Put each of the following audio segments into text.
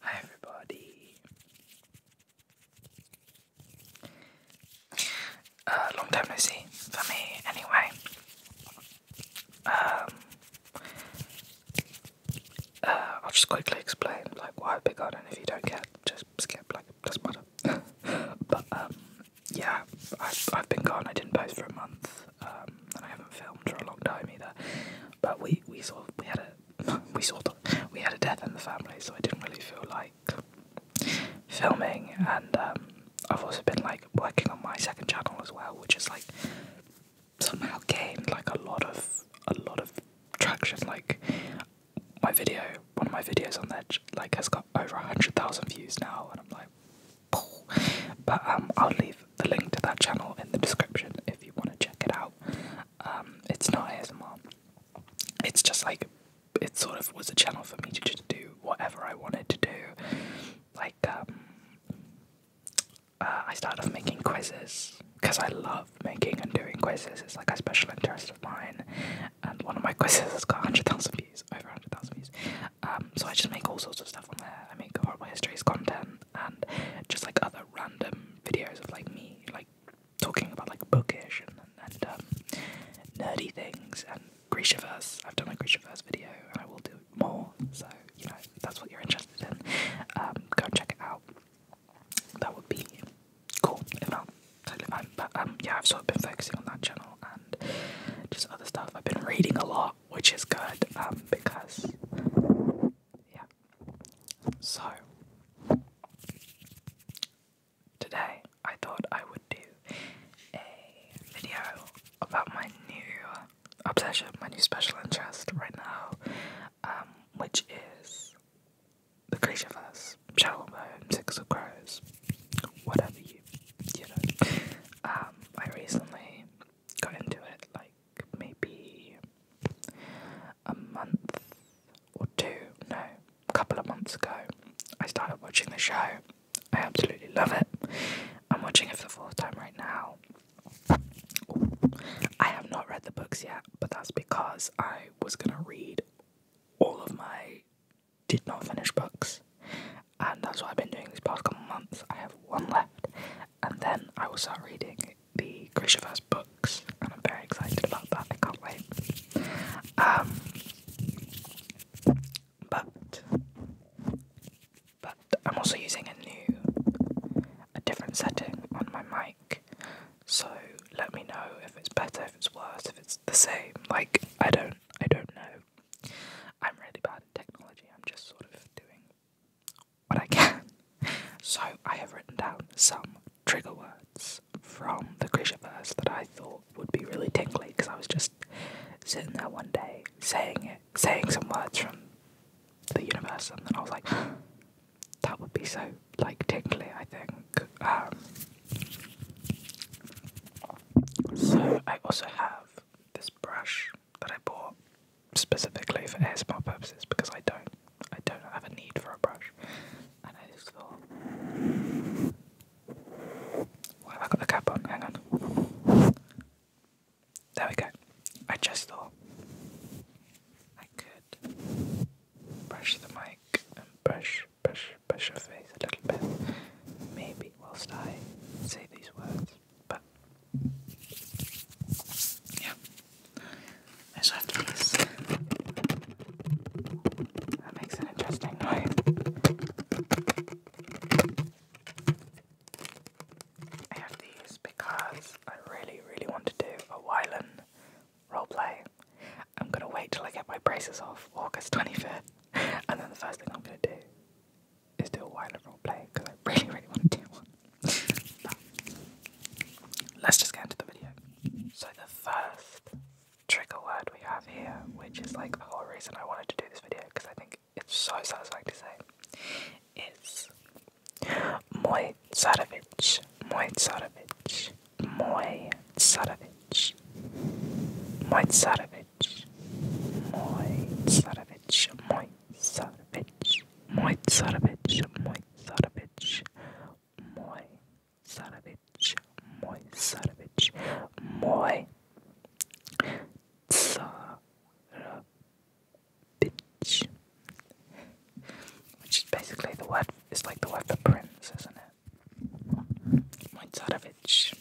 Hi everybody. Uh, long time no see for me, anyway. Um, uh, I'll just quickly explain like why I big garden. If you don't care, just skip. Like doesn't matter. but um, yeah, I've, I've been gone. I didn't post for a month, um, and I haven't filmed for a long time either. But we we sort of we had a we sort of we had a death in the family, so I didn't really feel like filming. And um, I've also been like working on my second channel as well, which is like somehow gained like a lot of a lot of traction. Like my video, one of my videos on that like has got over a hundred thousand views now, and I'm like, but um, I'll leave the link to that channel in the description if you want to check it out. Um, it's not as ASMR. It's just like it sort of was a channel for me to just do whatever I wanted to do. Like um, uh, I started off making quizzes because I love making and doing quizzes. It's like a special interest of mine. And one of my quizzes has got 100,000 views, over 100,000 views. Um, so I just make all sorts of stuff on there. I make my histories content and just like other random videos of like me like talking about like bookish and, and um, nerdy things and Grishaverse. I've done a Grishaverse video and I will do more. So you know that's what you're interested in. Um, go and check it out. That would be cool. If not, totally fine. But um, yeah, I've sort of been focusing on that channel and just other stuff. I've been reading a lot, which is good um, because yeah. So, today I thought I would do a video about my new obsession, my new special interest right now, um, which is the Creatureverse, Shadowbone, Six of Crows, whatever you, you know. Um, I recently got into it, like, maybe a month or two, no, a couple of months ago, I started watching the show. I absolutely love it. I'm watching it for the fourth time right now. I have not read the books yet, but that's because I was gonna read all of my did not finish books, and that's what I've been doing these past couple months. I have one left, and then I will start reading the Grishaverse books, and I'm very excited about that. I can't wait. Um, but but I'm also using a new, a different setting on my mic. So let me know if it's better, if it's worse, if it's the same. Like I don't, I don't know. I'm really bad at technology. I'm just sort of doing what I can. So I have written down some trigger words from the Grishaverse that I thought would be really tingly because I was just sitting there one day saying it, saying some words from the universe, and then I was like, that would be so like tingly. I think. Um, so I also have this brush that I bought specifically for spa purposes because I don't I don't have a need for a brush, I just thought, why have I got the cap on? Hang on. There we go. I just thought I could brush the mic and brush, brush, brush your face a little bit, maybe whilst I say these words. But yeah, I after this. That makes an interesting noise. I have these because I really, really want to do a Wylan roleplay. I'm gonna wait till I get my braces off August 25th, and then the first thing I'm gonna do is do a Wylan roleplay because I really, really want to do one let's just get into the video. So the first trigger word we have here, which is like the whole reason I wanted to do this video because I think it's so satisfying to say, is Moy Sadovich, Moy Sadovich, Moy Sadovich, Moy Sadovich, Moy Sadovich, Moy Sadovich, Moy Sadovich, Moy Sadovich, Moj Saravić, moj Saravić, moj Saravić. Which is basically the word, it's like the word for prince, isn't it? Moj Saravić.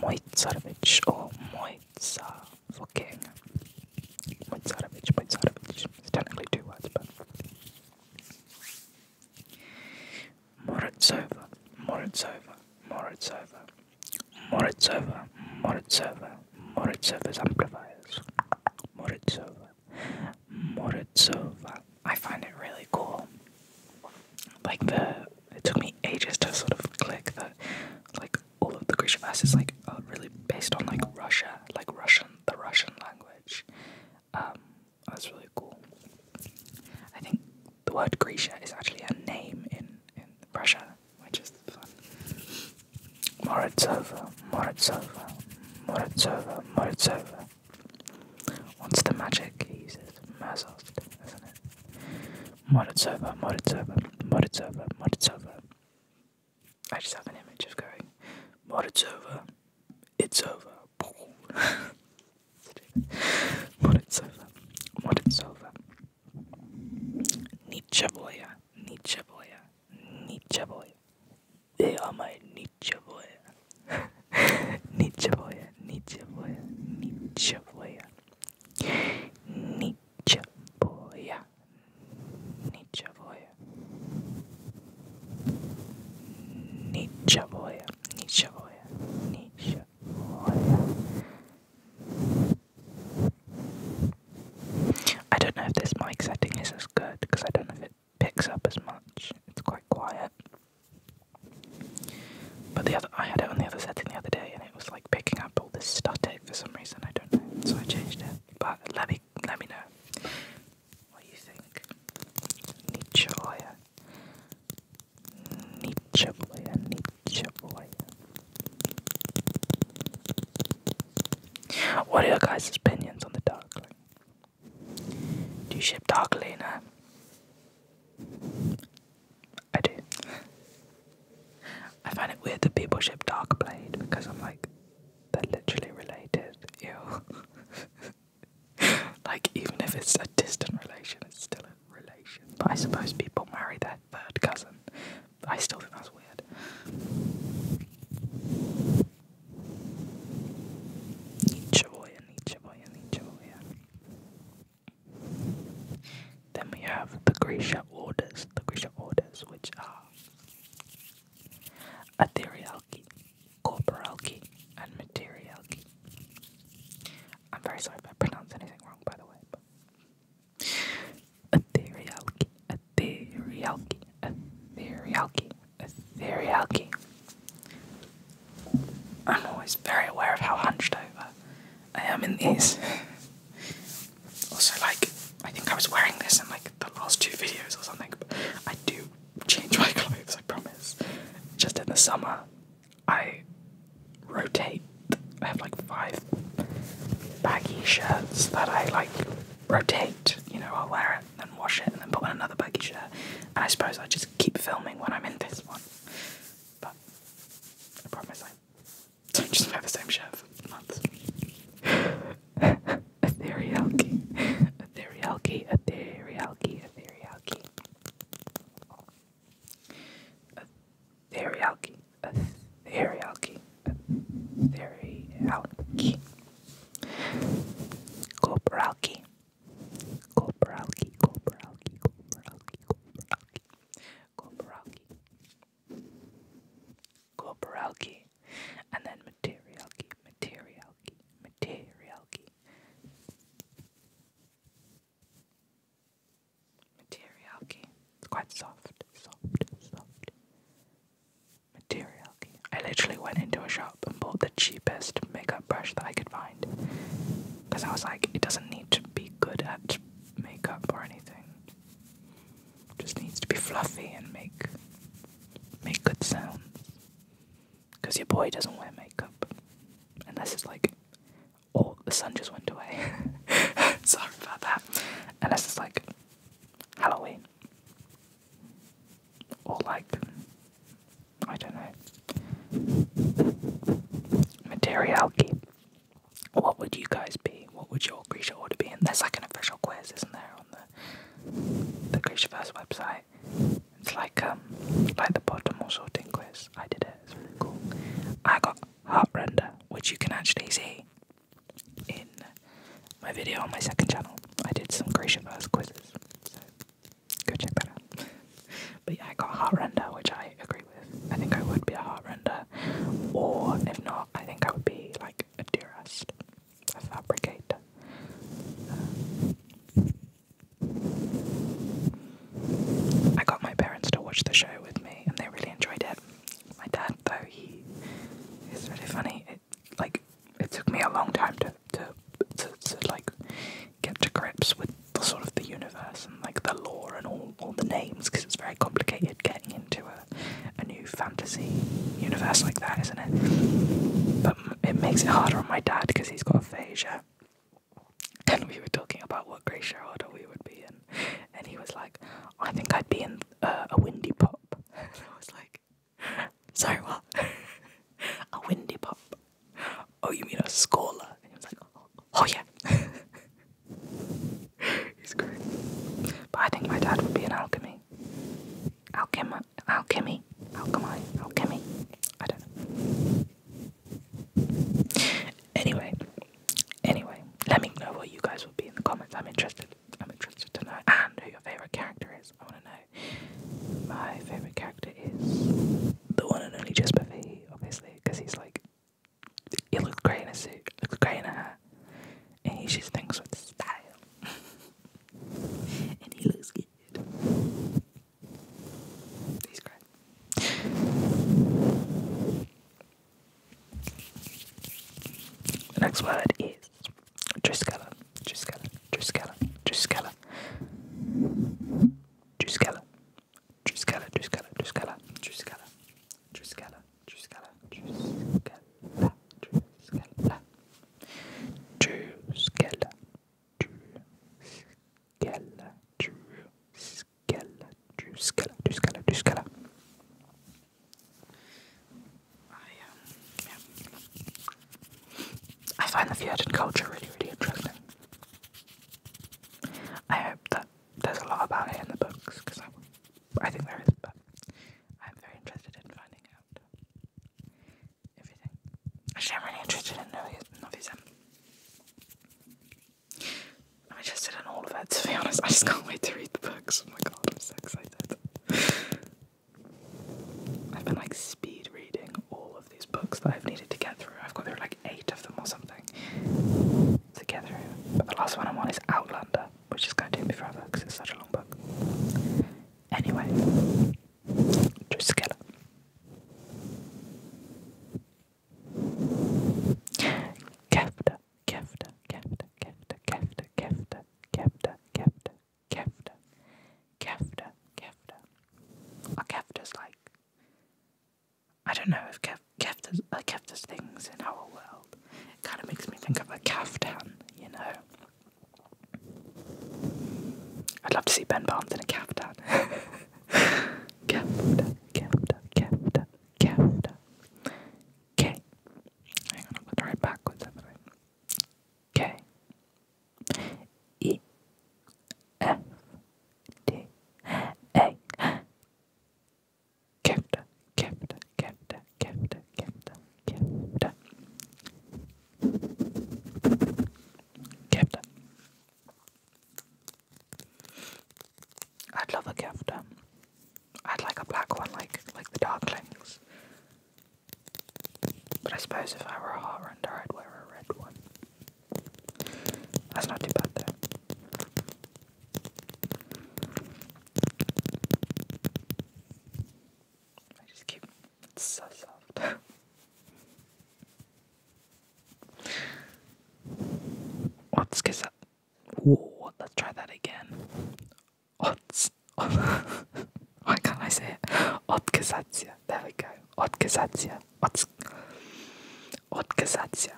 Moj Saravić, or moj Sa for king. Moj Saravić, It's technically two words, but Morozova, Morozova, Morozova, Morozova, Morozova, Morozova's amplifiers. Morozova, Morozova. I find it really cool. Like the, it took me ages to sort of click that, like all of the bass is like really based on like Russia, like Russian the Russian language. Um, that's really cool. I think the word Grisha is actually a name in, in Russia, which is fun. Morozova, Morozova, Morozova, Morozova. What's the magic? He uses Mazost, isn't it? Morozova, Morozova, Morozova, Morozova. I just have an image of going, But it's over. It's over. But it's over. But it's over. Nietzsche boya. Nietzsche boya. Nietzsche boya. They are my Nietzsche boya. Nietzsche boya. Nietzsche boya. Nietzsche Nichavoya Nichavoya Nichavoya Nichavoya I don't know if this mic setting is as good because I don't know if it picks up as much. It's quite quiet. But the other I had it on the other setting the other day and it was like picking up all this static for some reason, I don't know. So I changed it. But let me let me know. What do you think? Nietzsche Boya. Nietzsche Boya. Nietzsche Boya. What are your guys' opinions on the Darkling? Do you ship Darkliner? I do. I find it weird that people ship Darkblade because I'm like, they're literally related. you know. like, even if it's a distant relation, it's still a relation. But I suppose people marry their third cousin. I still think that's weird. Nichavoya, Nichavoya, Nichavoya. Then we have the Grisha orders, the Grisha orders, which are etherealky, corporalky, and materialky. I'm very sorry if I pronounce anything wrong, by the way. But etherealky, etherealky, etherealky, etherealky. I'm always very aware of how hunched over I am in these. also, like, I think I was wearing this in like the last two videos or something. I do change my clothes, I promise. Just in the summer, I rotate. I have like five baggy shirts that I like rotate. You know, I'll wear it, then wash it, and then put on another baggy shirt. And I suppose I just keep filming when I'm in this one. But I promise I don't just wear the same shirt for months. Atherialki. Atherialki. Atherialki. Atherialki. Atherialki. Atherialki. Atherialki. Kopralki. Kopralki. Kopralki. Kopralki. Kopralki. Kopralki. Kopralki and then material material key, key, material key, material key. It's quite soft, soft, soft. Materialki. I literally went into a shop and bought the cheapest makeup brush that I could find, because I was like, it doesn't need to be good at makeup or anything. just needs to be fluffy and make make good sounds. Because your boy doesn't wear makeup. Unless it's like, oh, the sun just went away. Sorry about that. Unless it's like Halloween. Or like, I don't know. Materiality. What would you guys be? What would your creature order be? And that's like an official quiz, isn't there, the Krishverse website. It's like um, like the bottom sorting quiz. I did it, it's really cool. I got heartrender, which you can actually see in my video on my second channel. I did some Krishverse quizzes. go check that out. But yeah, I got heartrender, which I agree with. I think I would be a heartrender, Or if not, I think I would be like a dearest a I got my parents to watch the show with me, and they really enjoyed it. My dad, though, he is really funny. It, like it took me a long time to to, to like get to grips with the sort of the universe and like the law and all all the names because it's very complicated getting into a a new fantasy universe like that, isn't it? But it makes it harder on my dad because he's got aphasia. And we were talking about what grey shareholder we would be in, and he was like, "I think I'd be in uh, a windy pop." I was like, "Sorry, what? a windy pop? Oh, you mean a scholar?" he was like, "Oh, yeah." He's great. But I think my dad would be in alchemy. Alchemist alchemy, alchemy, alchemy. I don't know. Anyway, anyway, let me know what you guys will be in the comments. I'm interested. I'm interested to know and who your favorite character is. I want to know. My favorite character is the one and only Jasper Fahey, obviously, because he's like he looks great in a suit, looks great in a hat, and he just thinks with style and he looks good. He's great. The next word is Driscala, Driscala, Driscala, Driscala, Driscala, Driscala, Driscala, Driscala, Driscala, Driscala, Driscala, Driscala, Tschüss, Tschüss, Tschüsskella, Tschüsskella, Tschüsskella, Tschüsskella, Tschüsskella, Tschüsskella. I, um, yeah. I find the Fiatan culture really, really interesting. I hope that there's a lot about it in the books, because I think there is, but I'm very interested in finding out everything. I'm really interested in Novizen. I'm interested in all of it, to be honest. I just can't wait to read the books. Oh my god, I'm so excited. I've been like speed reading all of these books that I've needed to get through. I've got through like eight of them or something to get through. But the last one I'm on is Outlander, which is going to take me forever because it's such a long book. Anyway. Just kidding. Kefta, kefta, kefta, kefta, kefta, kefta, kefta, kefta, kefta, kefta, kefta. A kefta's like I don't know if kef like uh, kefta's things in our world. It kind of makes me think of a kaftan, you know. I'd love to see Ben Barnes in a caftan. caftan, caftan, caftan, caftan. K. Hang on, I'm going to try backwards, haven't I? K. E. F. D. A. Caftan, caftan, caftan, caftan, Captain. Captain. I'd love a Captain. I'd like a black one, like like the Darklings. But I suppose if I were a heartrender, I'd wear a red one. That's not too bad, though. I just Let's kiss that. Whoa, let's try that again. What? Why can't I say it? Odkazacja. There we go. Odkazacja. Ots. Odkazacja.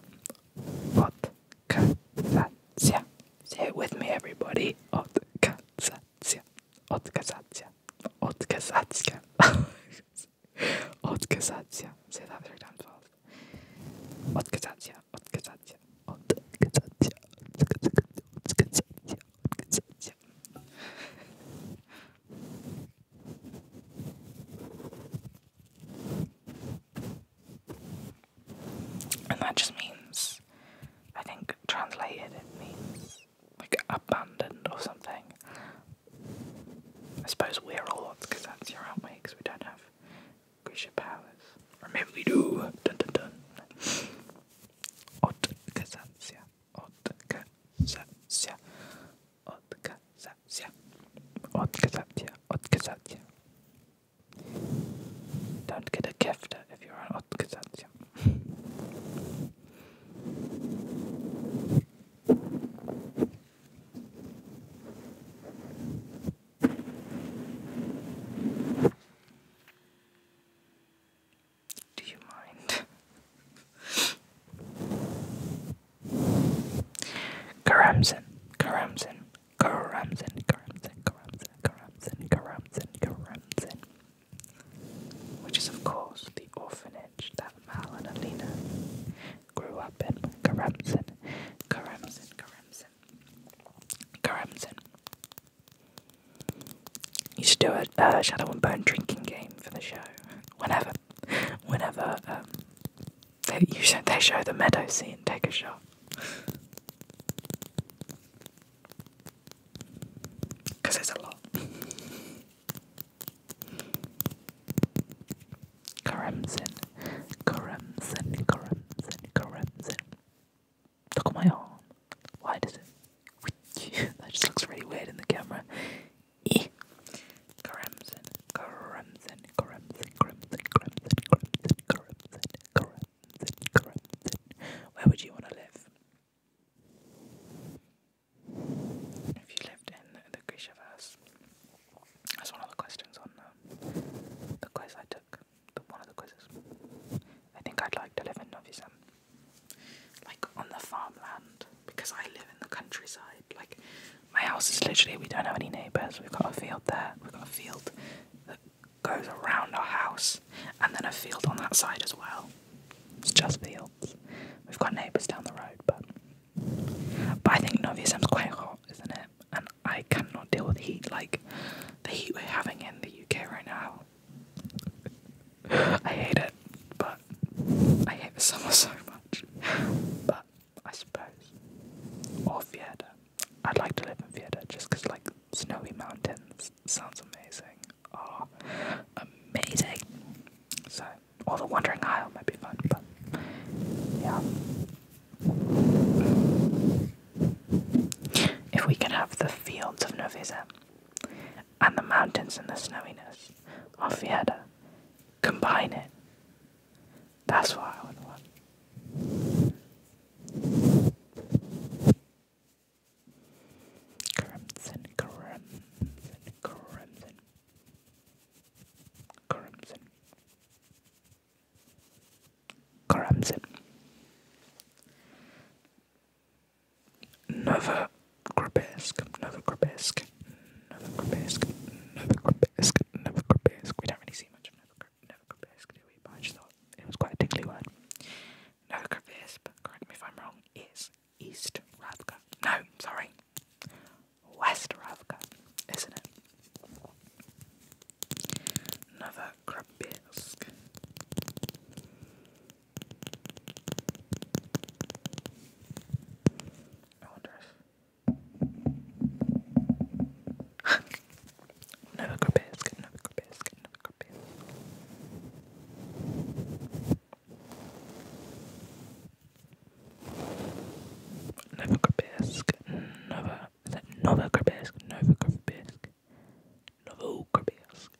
Odkazacja. Say with me, everybody. Odkazacja. Odkazacja. Odkazacja. Odkazacja. Say that three times fast. Odkazacja. Odkazacja. Odkazacja. Odkazacja. Odkazacja. And that just means, I think translated, it means like abandoned or something. I suppose we're all odds, cause that's your own way. Because we don't have creature powers. Or maybe we do. Dun dun dun. Ot Kazantia. Ot Kazantia. Ot Kazantia. Ot Kazantia. Ot Kazantia. Don't get a gift if you're an Ot Kazantia. 있죠. Do you mind? Karamzin, Karamzin, Karamzin, Karamzin, Karamzin, Karamzin, Karamzin, Karamzin, which is, of course, the orphanage that Mal and Alina grew up in. Karamsin, Karamsin, Karamsin, Karamsin. You should do a uh, Shadow and burn drinking game for the show. Whenever, whenever um, they show the meadow scene, take a shot. Because it's a lot. Crimson, crimson, crimson, crimson. Look at my arm. Why does it? that just looks really weird in the camera. Eh. Crimson, crimson, crimson, crimson, crimson, crimson, crimson, crimson, crimson. Where would you want to live? If you lived in the, the that's one of the questions on the quiz I took. The, one of the quizzes. I think I'd like to live in Novi Sam, like on the farmland, because I live in the countryside. Like my house is literally we don't have any neighbours. We've got a field there. We've got a field that goes around our house, and then a field on that side as well. It's just fields. We've got neighbours down the road, but but I think Novi Sem's quite hot, isn't it? And I cannot deal with heat like the heat we're having in the UK right now. I hate it, but I hate the summer so much. But I suppose, or Vienna. I'd like to live in Vienna just because like snowy mountains Sounds amazing. Oh, amazing. So, or the Wandering Isle might be fun, but yeah. If we can have the fields of Novizem and the mountains and the snowiness of Vieta combine it. That's what I would want. Crimson, crimson, crimson, crimson, crimson. Another grotesque, another grotesque, another grotesque, another grotesque, another grotesque. We don't really see much of another grotesque, do we? But I just thought it was quite a tickly word. Another grotesque, correct me if I'm wrong, is East Ravka. No, sorry. West Ravka, isn't it? Novokrabinsk. I wonder if... Novokrabinsk, Novokrabinsk, Novokrabinsk. Novokirbysk, Nova, is that Novokirbysk, Novokirbysk, Novokirbysk,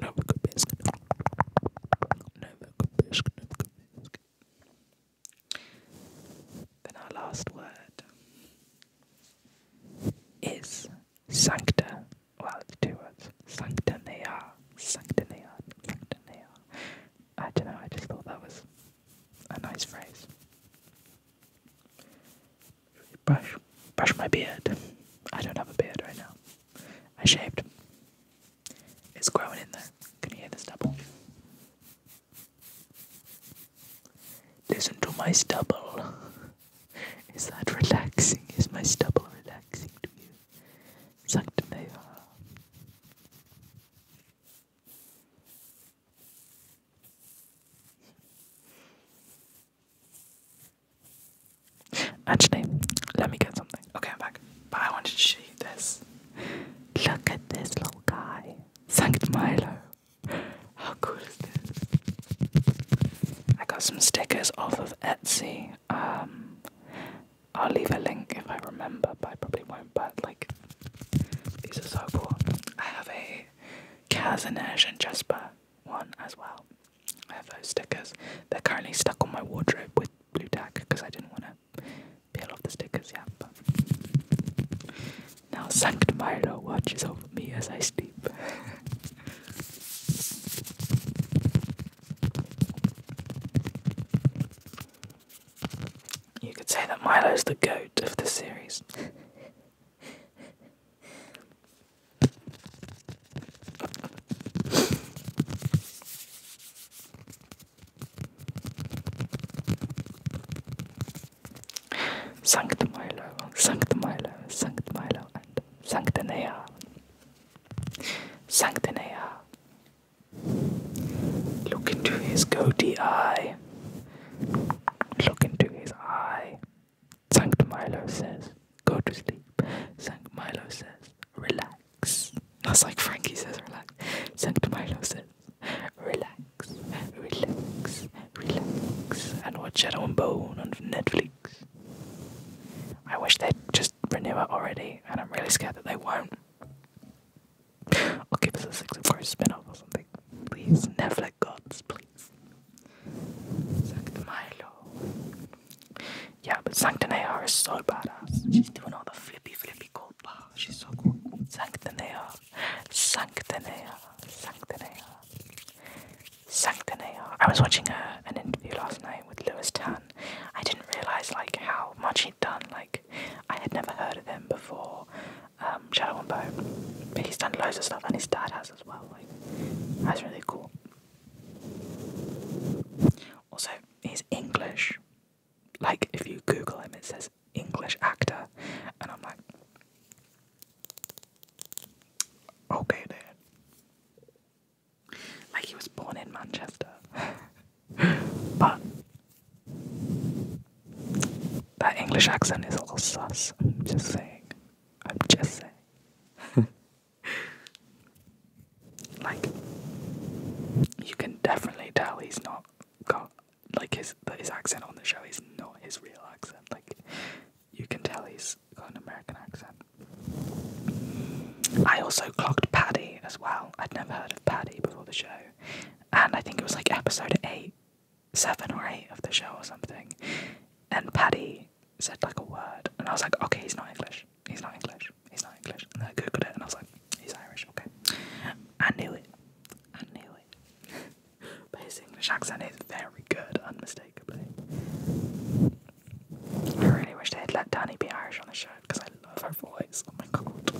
Novokirbysk, Novokirbysk, Novokirbysk. Then our last word is Sancta well, it's two words. Sanctanea. Sanctanea. Sanctanea. I don't know, I just thought that was a nice phrase. Brush. Brush my beard. I don't have a beard right now. I shaved. It's growing in there. Can you hear the stubble? Listen to my stubble. Is that relaxing? Is my stubble relaxing to you? Sagt mig Actually, let me get something. Okay, I'm back. But I wanted to show you this. Look at this little guy. Sankt I got some stickers off of Etsy. Um, I'll leave a link if I remember, but I probably won't. But like, these are so cool. I have a Kazanesh and Jasper one as well. I have those stickers. They're currently stuck on my wardrobe with blue tack because I didn't want to peel off the stickers yet. now Sanctum Milo watches over me as I sleep. You could say that Milo's the goat of the series. Sancta Milo, Sancta Milo, Sancta Milo, and Sanctanea, Sanctanea. Look into his goatee eye. Look into his eye. Sanct Milo says, go to sleep. Sanct Milo says, relax. That's like Frankie says, relax. Sanct Milo says, relax, relax, relax. And watch Shadow and Bone on Netflix. I wish they'd just renew it already, and I'm really scared that they won't. Or give us a Six of Crows spin off or something. Please, Netflix gods, please. Sancta Milo. Yeah, but Sanctanea is so badass. She's doing all the flippy flippy cool bar. She's so cool. Sanctanea. Sanctanea. Sanctanea. Sanctanair. I was watching a, uh, an interview last night with Louis Tan. I didn't realise like how much he'd done. Like I had never heard of him before. Um, Shadow and Bone, but he's done loads of stuff, and his dad has as well. Like that's really cool. Also, he's English. Like if you Google him, it says English actor, and I'm like, okay, then. Like he was born in Manchester. but that English accent is all sus. I'm just saying. I'm just saying. like you can definitely tell he's not got like his his accent on the show He's not his real accent. Like you can tell he's got an American accent. I also clocked Paddy as well. I'd never heard of Paddy before the show, and I think it was like episode eight, seven or eight of the show or something. And Paddy said like a word, and I was like, okay, he's not English. He's not English. He's not English. And I googled it, and I was like, he's Irish. Okay, I knew it. I knew it. but his English accent is very good, unmistakably. I really wish they would let Danny be Irish on the show because I love her voice. Oh my god.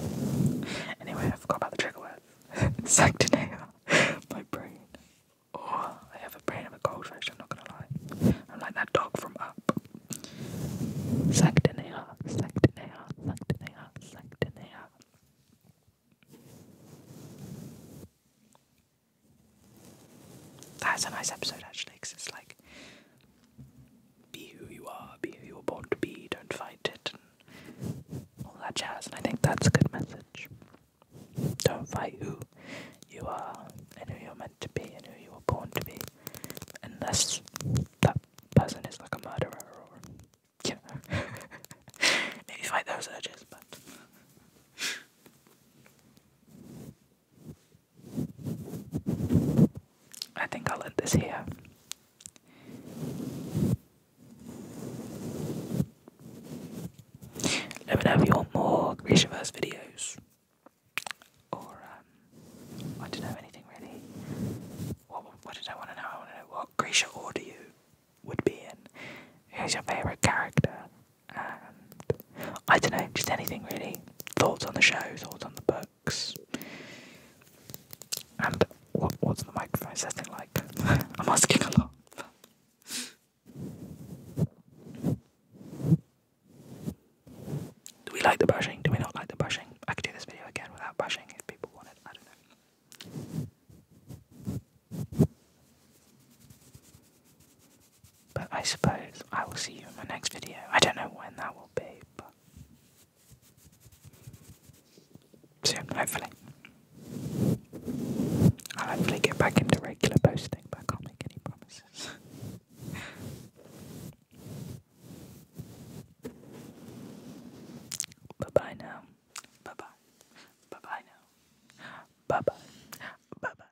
Anyway, I forgot about the trigger word. Sanctinea. My brain. Oh, I have a brain of a goldfish, I'm not gonna lie. I'm like that dog from Up. Sanctinea. Sanctinea. Sanctinea. Sanctinea. That's a nice episode actually, because it's like be who you are, be who you were born to be, don't fight it, and all that jazz. And I think that's a good message. Don't fight who you are and who you're meant to be and who you were born to be, unless that person is like a murderer or you know. Maybe fight those edges, but. I think I'll end this here. Let me know if you want more Grishaverse videos. Or, um, I don't know anything really. What, what did I want to know? I want to know what Grisha order you would be in. Who's your favourite character? I don't know, just anything really. Thoughts on the show, thoughts on the books. And what's the microphone setting like? I'm asking a lot. Do we like the brushing? Do we not like the brushing? I could do this video again without brushing if people want it. I don't know. But I suppose I will see you in my next video. I don't know when that will be, but soon, hopefully. I'll hopefully get back into regular posting, but I can't make any promises. bye bye now. Bye bye. Bye bye now. Bye bye. Bye bye.